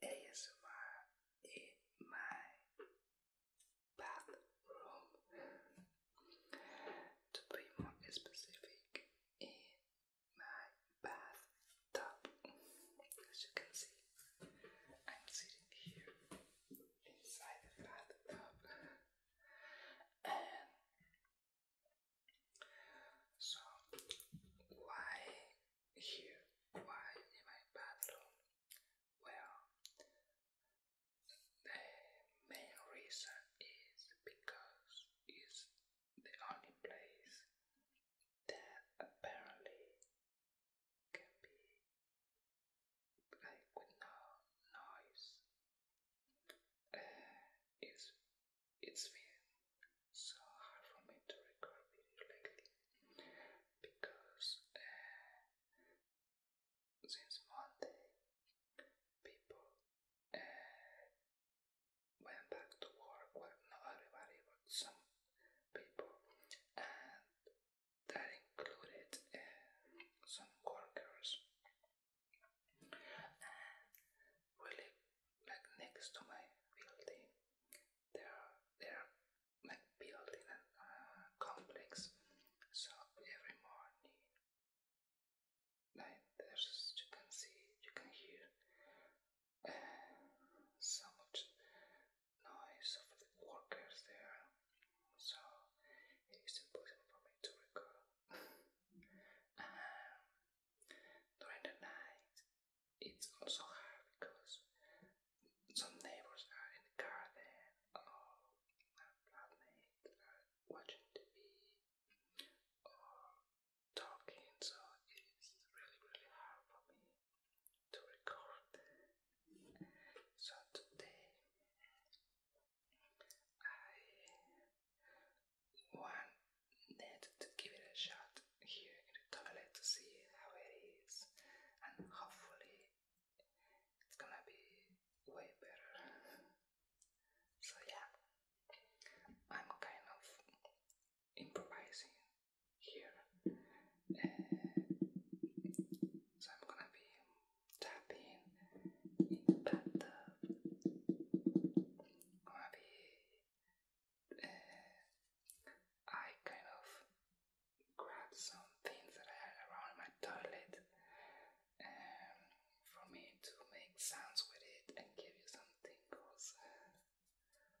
ASMR in my bathroom. to be more specific, in my bathtub. As you can see, I'm sitting here inside the bathtub. so, why here. Why in my bathroom? Well, the main reason is because it's the only place that apparently can be like with no noise. Uh, it's it so hard for me to record video lately because uh, since Monday people uh, went back to work. not everybody, but some people, and that included uh, some workers. And we like next to my building, they are they are like built in a complex. So every morning, like there's you can see, you can hear uh, so much noise of the workers there. So it is impossible for me to record. um, during the night, it's also hard because some neighbors are in the garden or watching TV or talking, so it's really, really hard for me to record. So today I want Ned to give it a shot here in the toilet to see how it is, and hopefully it's gonna be way better. So, yeah, I'm kind of improvising here, so I'm gonna be tapping in I'm be uh, I kind of grabbed some things that I had around my toilet um, for me to make sounds with it and give you some tingles. Uh,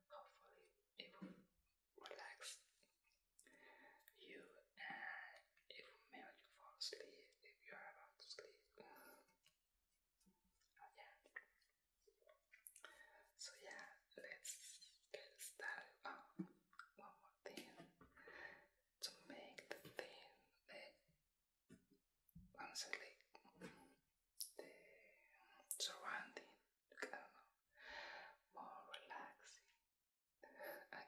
hopefully, it will relax you and it will make you fall asleep if you are about to sleep. Oh, yeah. So yeah, let's get started. Oh, one more thing. To make the thing, the one select the surrounding, I don't know, more relaxing. I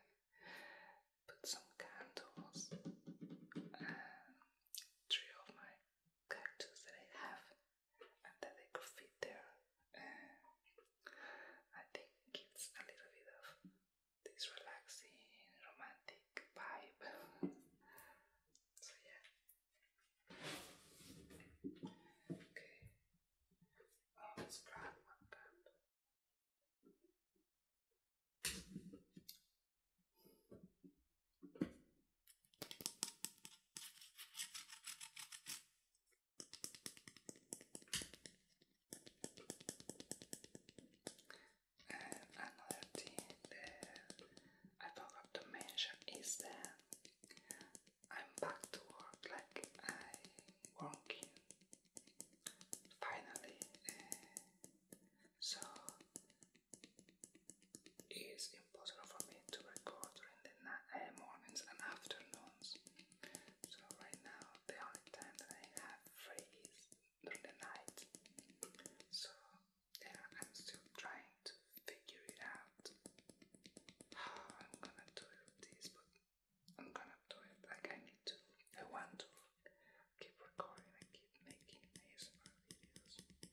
put some candles and um, three of my cactus that I have and that they could fit there. Uh, I think it's a little bit of this relaxing, romantic vibe. so, yeah. Okay. Oh, let's grab one and another thing I forgot to mention is that I'm back to work like i working finally. Uh, so it's impossible for me to record during the uh, mornings and afternoons. So right now, the only time that I have free is during the night. So yeah, I'm still trying to figure it out how I'm gonna do this, but I'm gonna do it. Like I need to, I want to keep recording and keep making ASMR videos.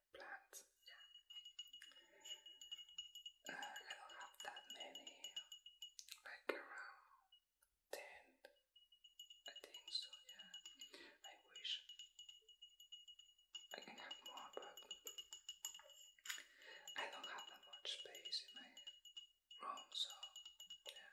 plants. Yeah. Uh, I don't have that many. Like around 10. I think so, yeah. I wish I can have more, but I don't have that much space in my room, so yeah.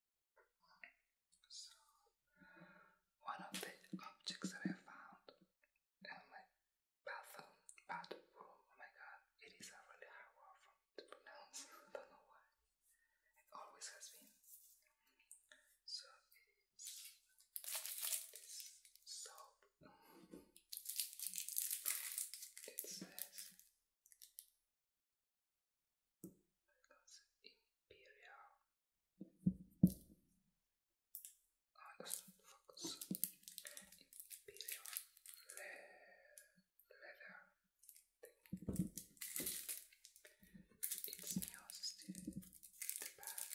So, one of the objects that I found in my bathroom, bathroom, oh my god, it is a really hard word to pronounce, I don't know why, it always has been. So, this soap. It says that's Imperial. I doesn't focus. Imperial leather thing. It's yours the bag.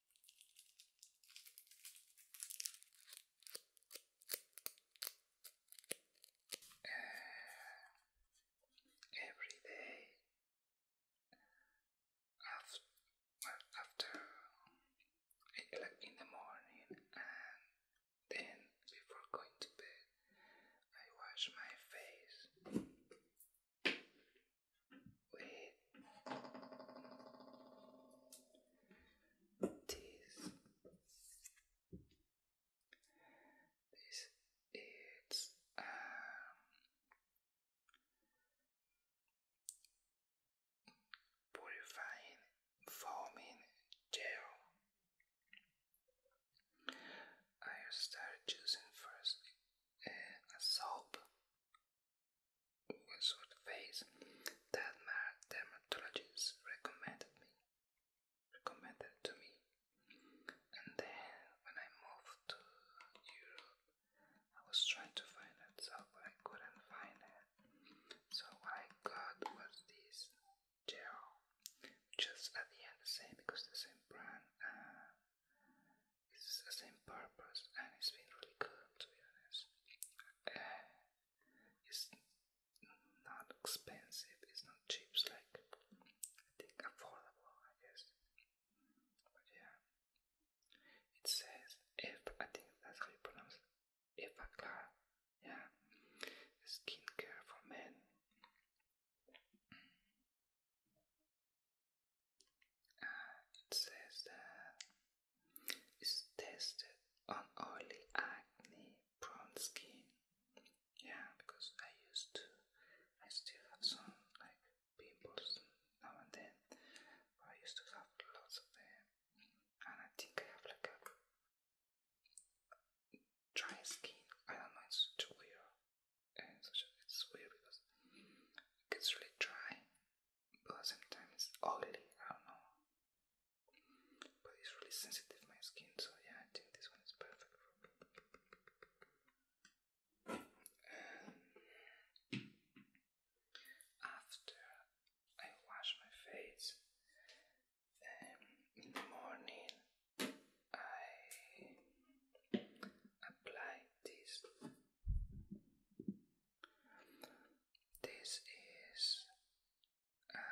Uh, every day after, in the morning and then before going to bed I wash my face with this, this is um, purifying foaming gel. I started choosing first uh, a soap was for the face that my dermatologist recommended me recommended to me. And then when I moved to Europe I was trying to find that soap I couldn't find it. So I got was this gel. Just at the end same because the same brand uh, the same purpose and it's been really good to be honest it's not expensive, it's not cheap, it's like I think affordable, I guess. But yeah, it says if I think that's how you pronounce it. yeah, skincare for men. Uh, it says that is tested on oily acne prone skin. Yeah, because I used to, I still have some like pimples now and then, but I used to have lots of them, and I think I have like a dry skin. I don't know, it's such weird, it's weird because it gets really dry, but sometimes oily, I don't know. But it's really sensitive my skin, so yeah, I think this one is perfect. after I wash my face um, in the morning, I apply this this is a um,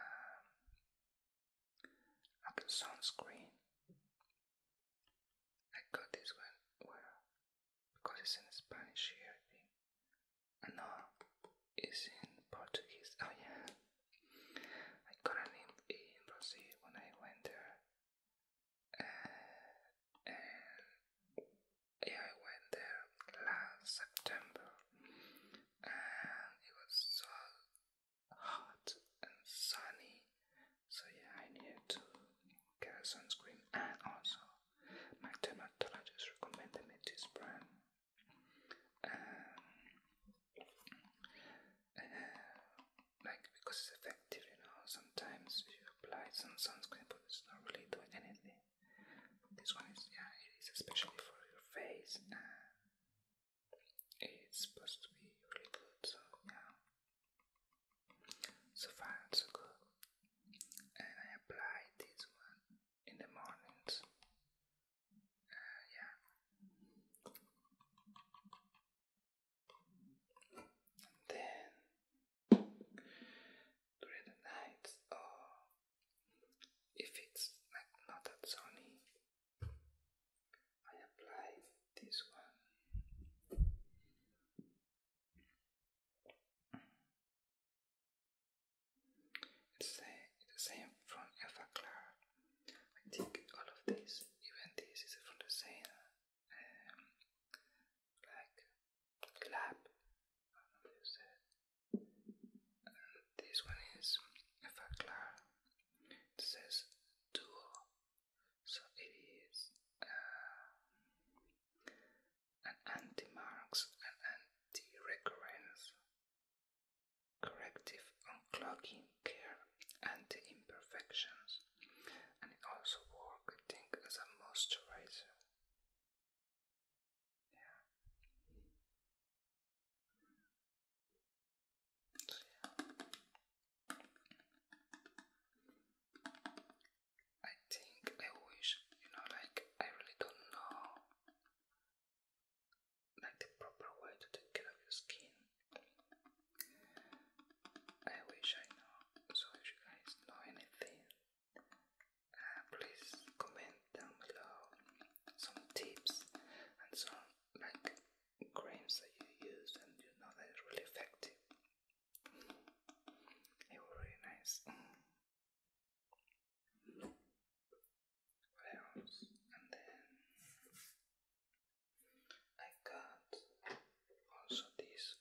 sunscreen. I got this one because it's in Spanish here, uh, no, it's in Portuguese. Oh yeah, I got it in, Brazil when I went there, uh, yeah, I went there last September and it was so hot and sunny, so yeah, I needed to get a sunscreen. And also, my dermatologist recommended me this brand. Um, uh, like because it's effective, you know. Sometimes you apply some sunscreen, but it's not really doing anything. This one is yeah, it is especially for your face and it's supposed to be really good, so yeah. So far so good. And I apply this one in the mornings. Uh, yeah. then during the night or if it's like not that sunny I apply this one it's the, same from Alpha Clara I think all of this, even this is from the same um, like clap. I don't know if you said it. And this one is if I clap, it says duo. So it is uh, an anti-marks and anti-recurrence, corrective unclogging care, anti-imperfections, and it also works, I think, as a moisturizer. I think I wish, you know, like I really don't know like the proper way to take care of your skin. I wish I know. So if you guys know anything uh, please comment down below some tips and some like creams that you use and you know that really effective. It was really nice. Mm. And then I got also this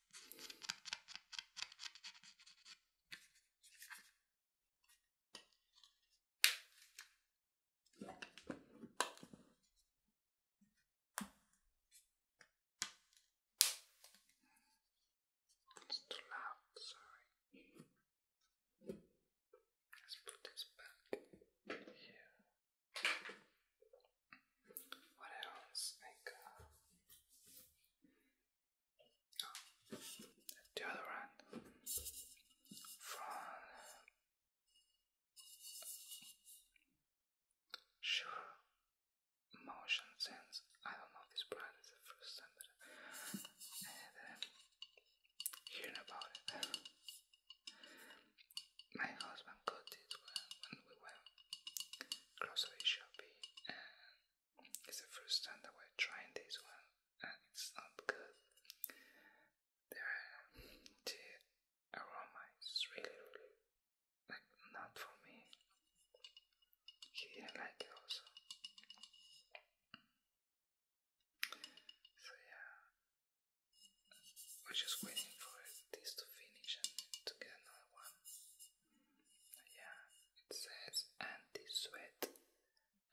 It's too loud, sorry. Let's put this back here. What else? Like, the other one from Sure Motion Sense. I don't know this brand. It's the first time that I'm uh, hearing about it. My husband got it when we went grocery shopping and it's the first time that we're trying this one and it's not good. the aroma really, really like not for me. He didn't like it also. So yeah, we're just waiting for this to finish and to get another one. Yeah, it says anti-sweat,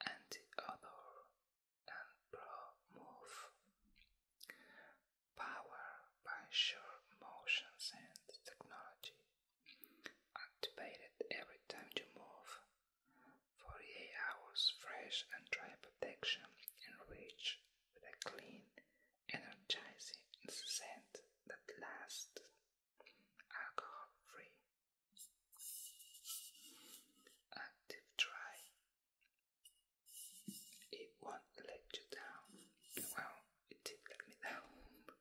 anti-odor, and pro-move. Power by sure motion sense technology. Activated every time you move. 48 hours fresh and dry protection and reach with a clean energizing scent that lasts, alcohol-free, active dry. It won't let you down. Well, it did let me down.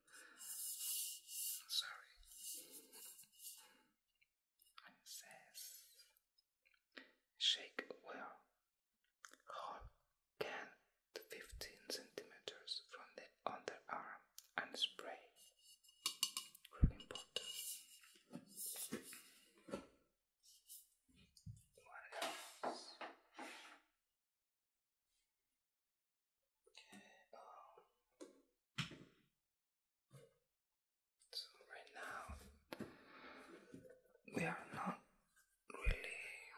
Sorry. shake well Hall can to 15 centimeters from the underarm and spray. Um, right now we are not really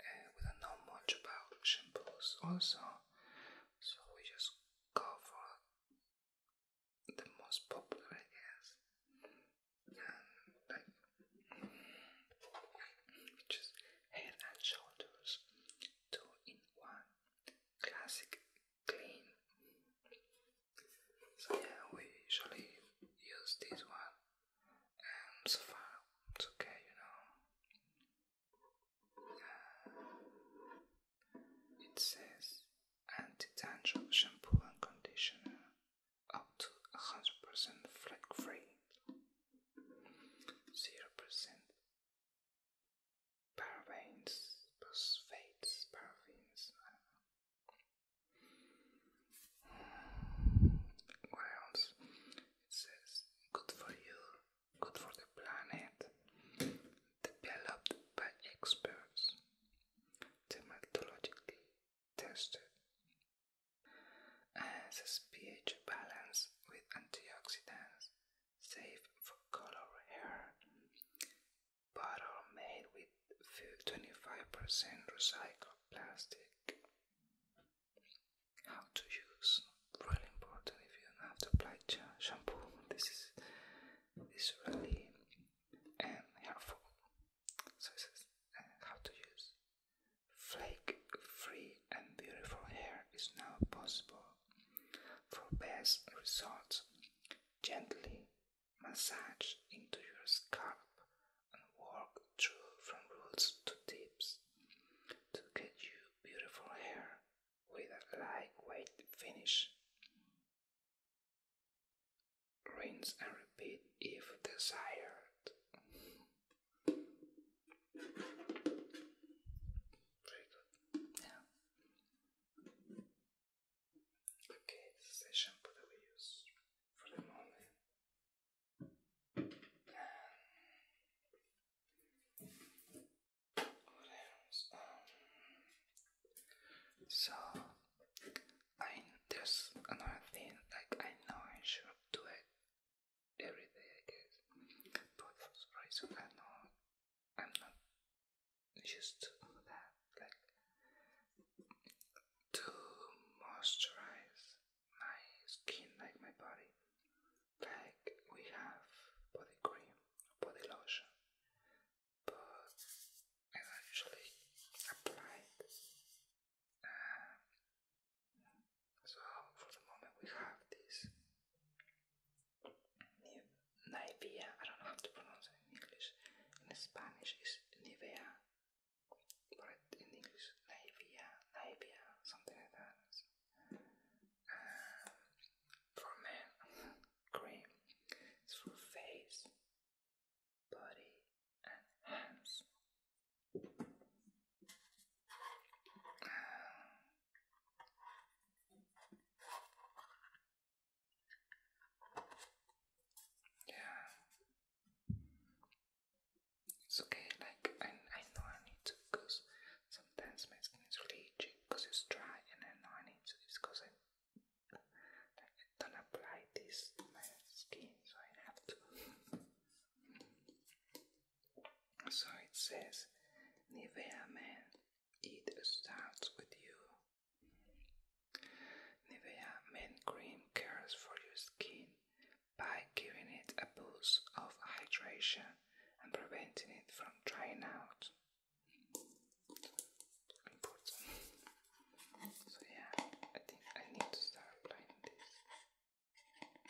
uh, we don't know much about shampoos also so we just go for the most popular I guess like just head and shoulders two in one classic clean so yeah we usually use this one so far, it's okay, you know. it says anti-dandruff shampoo and conditioner up to 100% flake free, 0% parabens, phosphates, paraffins. What else? It says, good for you, good for the planet, developed by experts, dermatologically tested, as a pH balance with antioxidants, safe for color hair, bottle made with 25% recycled plastic how to use. Really important if you have to apply shampoo. This is is really um, helpful. So this is uh, how to use. Flake-free and beautiful hair is now possible. For best results, gently massage into your scalp and work through from roots to tips to get you beautiful hair with a lightweight finish. Rinse and repeat if desired. Yeah. Okay, this is the shampoo that we use for the moment so I there's another thing like I know I should do it every day, but for some reason I know I'm not used to that. Like to moisturize my skin, like my body. Like we have body cream, body lotion, but I don't usually apply it. Uh, so for the moment we have this Nivea, I don't know how to pronounce it in English. In Spanish is Nivea but in English, naivia, naivia, something like that. Uh, for men, cream is for face, body, and hands. Uh, yeah, it's okay, like I, I know I need to because sometimes my skin is really itchy because it's dry and I know I need to it's because I, like, I don't apply this to my skin so I have to. so it says Nivea Man, it starts with you. Nivea Men Cream cares for your skin by giving it a boost of hydration and preventing it from drying out. So yeah, I think I need to start applying this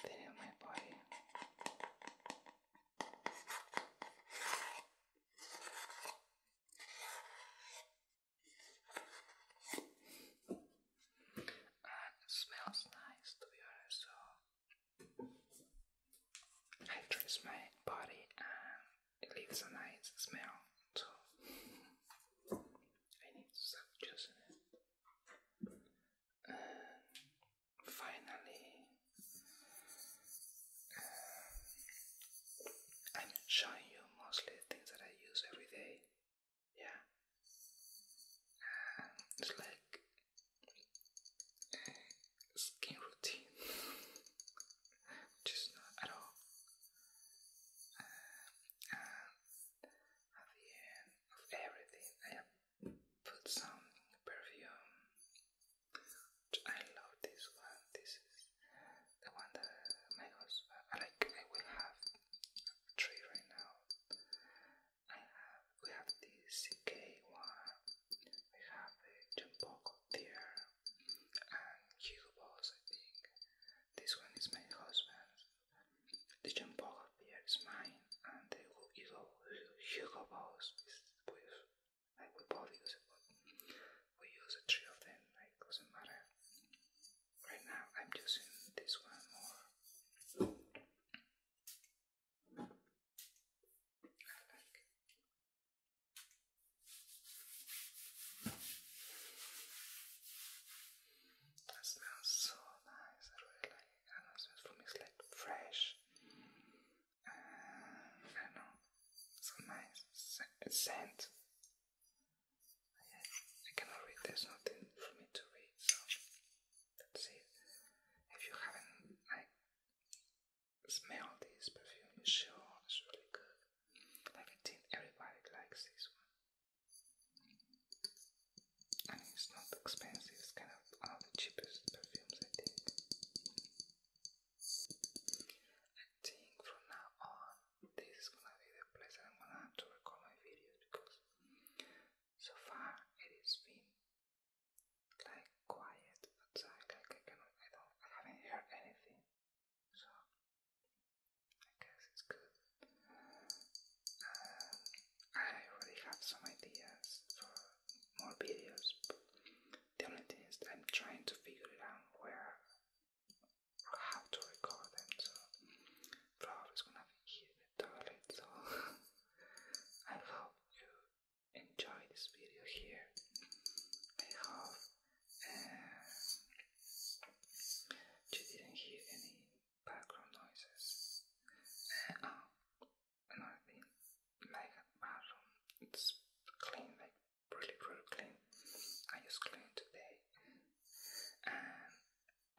thing my body it smells nice to be honest. So I dress my body and it leaves a nice smell. So I need to stop finally, uh, I'm showing you mostly things that I use every day yeah, it's like skin routine, which not at all. Uh, at the end of everything, I put some perfume. I love this one. This is the one that my husband like. I will have three right now we have the CK one, we have the Jumpoko there, and Hugo Boss, I think. This one is my husband's. The Jumpoko there is mine, and the Hugo, Hugo Boss is with, like, we both use it, but we use the three of them, like, doesn't matter. Right now, I'm using this one more. That smells so nice. I really like I know it smells for me, it's like fresh. Uh, I do know. So nice scent. I, cannot read. There's nothing for me to read, Let's see If you haven't like smelled this perfume, you sure it's really good. Like I think everybody likes this one. And it's not expensive, it's kind of one of the cheapest perfumes I think. I think from now on this is gonna be the place that I'm gonna to record my videos because so far, it has been like quiet outside. Uh, like I cannot, I don't, I haven't heard anything. So I guess it's good. Uh, I already have some ideas for more videos. But the only thing is I'm trying to figure out where how to record them flowers gonna be here the toilet, so I hope you enjoy this video here. I hope uh, you didn't hear any background noises. Uh, oh, another thing, like bathroom, it's clean, like really, really clean. I just cleaned today.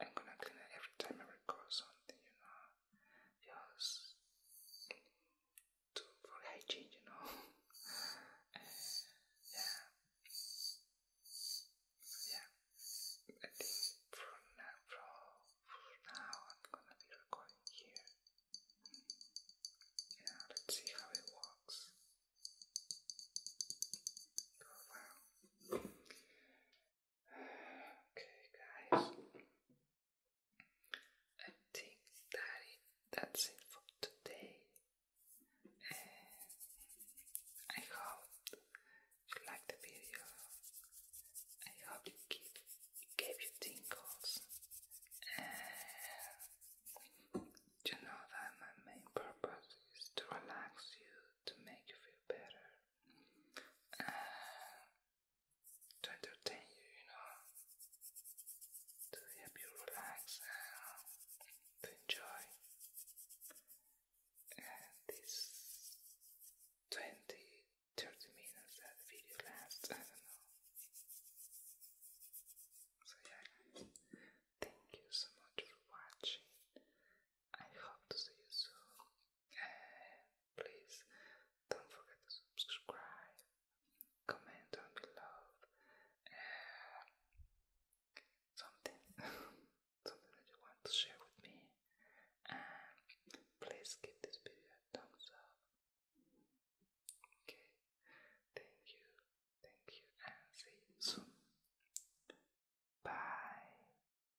I'm gonna clean it every time I record something, you know, just to, for hygiene, you know. yeah, yeah. I think now, from, now, I'm gonna be recording here. Yeah, let's see how it works. Oh, Okay, guys. I think that's it for today. I hope you like the video. I hope it gave, you tingles. you know that my main purpose is to relax you to make you feel better, uh, to entertain you, you know, to help you relax to enjoy. And this 20 30 minutes that video lasts, I don't know. So, yeah, thank you so much for watching. I hope to see you soon Please don't forget to subscribe, comment down below something, something that you want to share with me, and please give this video a thumbs up. Okay, thank you, thank you, and see you soon. Bye.